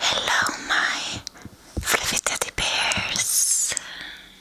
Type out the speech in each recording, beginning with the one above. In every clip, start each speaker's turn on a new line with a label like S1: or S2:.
S1: Hello, my fluffy teddy bears.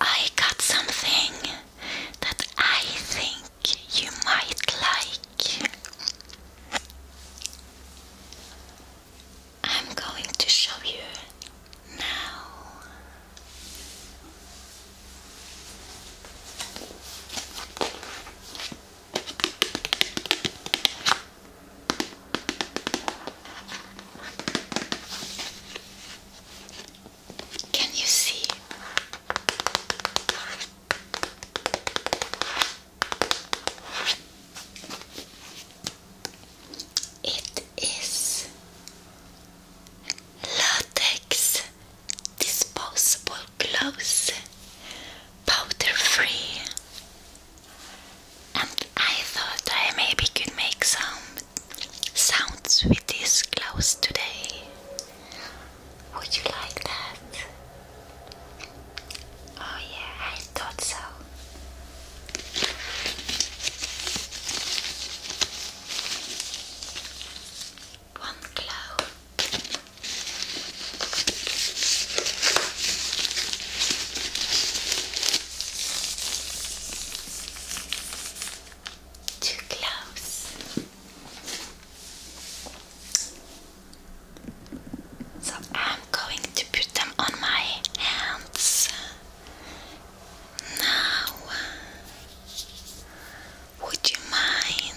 S1: I got something that I think you might like. I'm going to show you now.
S2: Can you see? It is latex
S1: disposable gloves, powder free, and I thought I maybe could make some sounds with these clothes today. Would you like that? Oh, yeah, I thought so. One
S2: glove, too close.
S1: So I'm going to put them on my hands now. Would you mind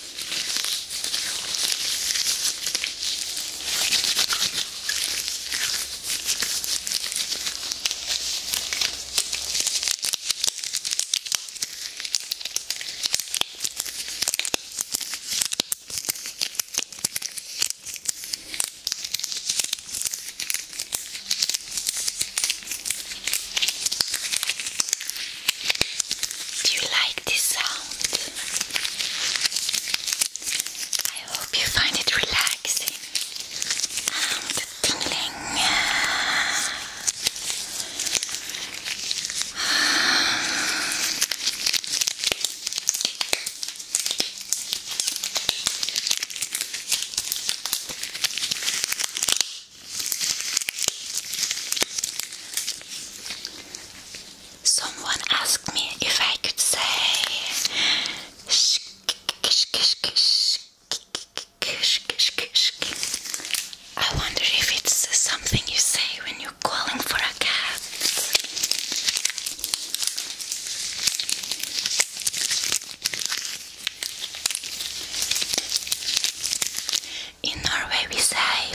S1: Do you like this sound? I hope you find it relaxing and tingling. Someone asked me if I could say I wonder if it's something you say when you're calling for a cat. In Norway, we say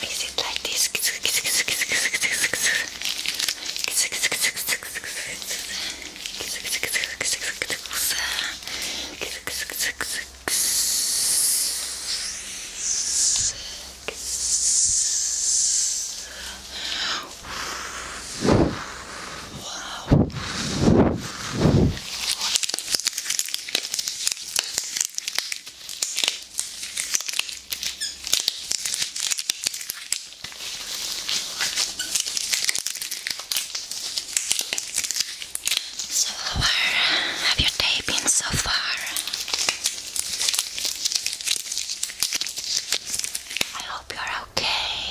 S2: mix it like this. Wow.
S1: So how have your day been so far? I hope you're okay.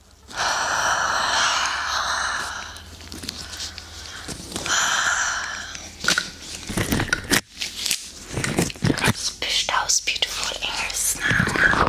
S1: Just push those beautiful ears now.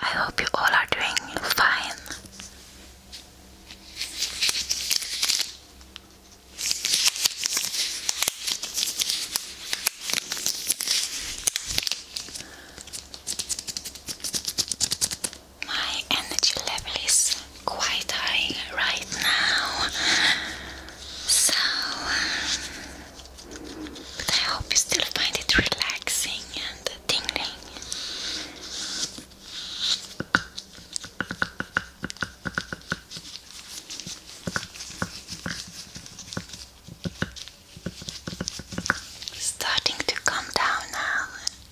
S1: I hope you all are doing fine. My energy level is quite high right now, so but I hope you still find it relaxing and tingling. Starting to come down now.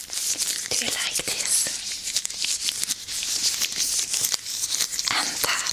S2: Do you like this? And that.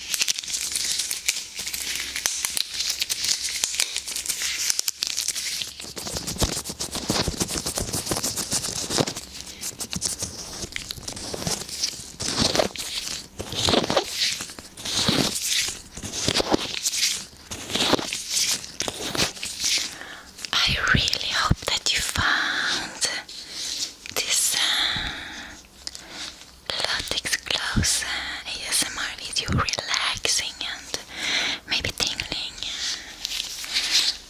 S1: I really hope that you found this uh, Latex gloves uh, ASMR video relaxing and maybe tingling.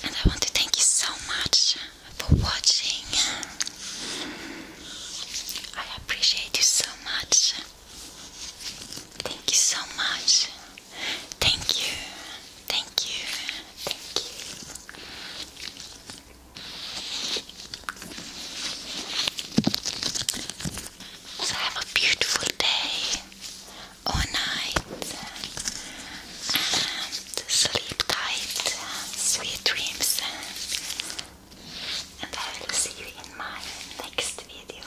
S1: And I want to thank you so much for watching. I appreciate you so much. Thank you so much. Thank you. Thank you. Thank you. So have a beautiful day or night and sleep tight, sweet dreams and I will see you in my next video.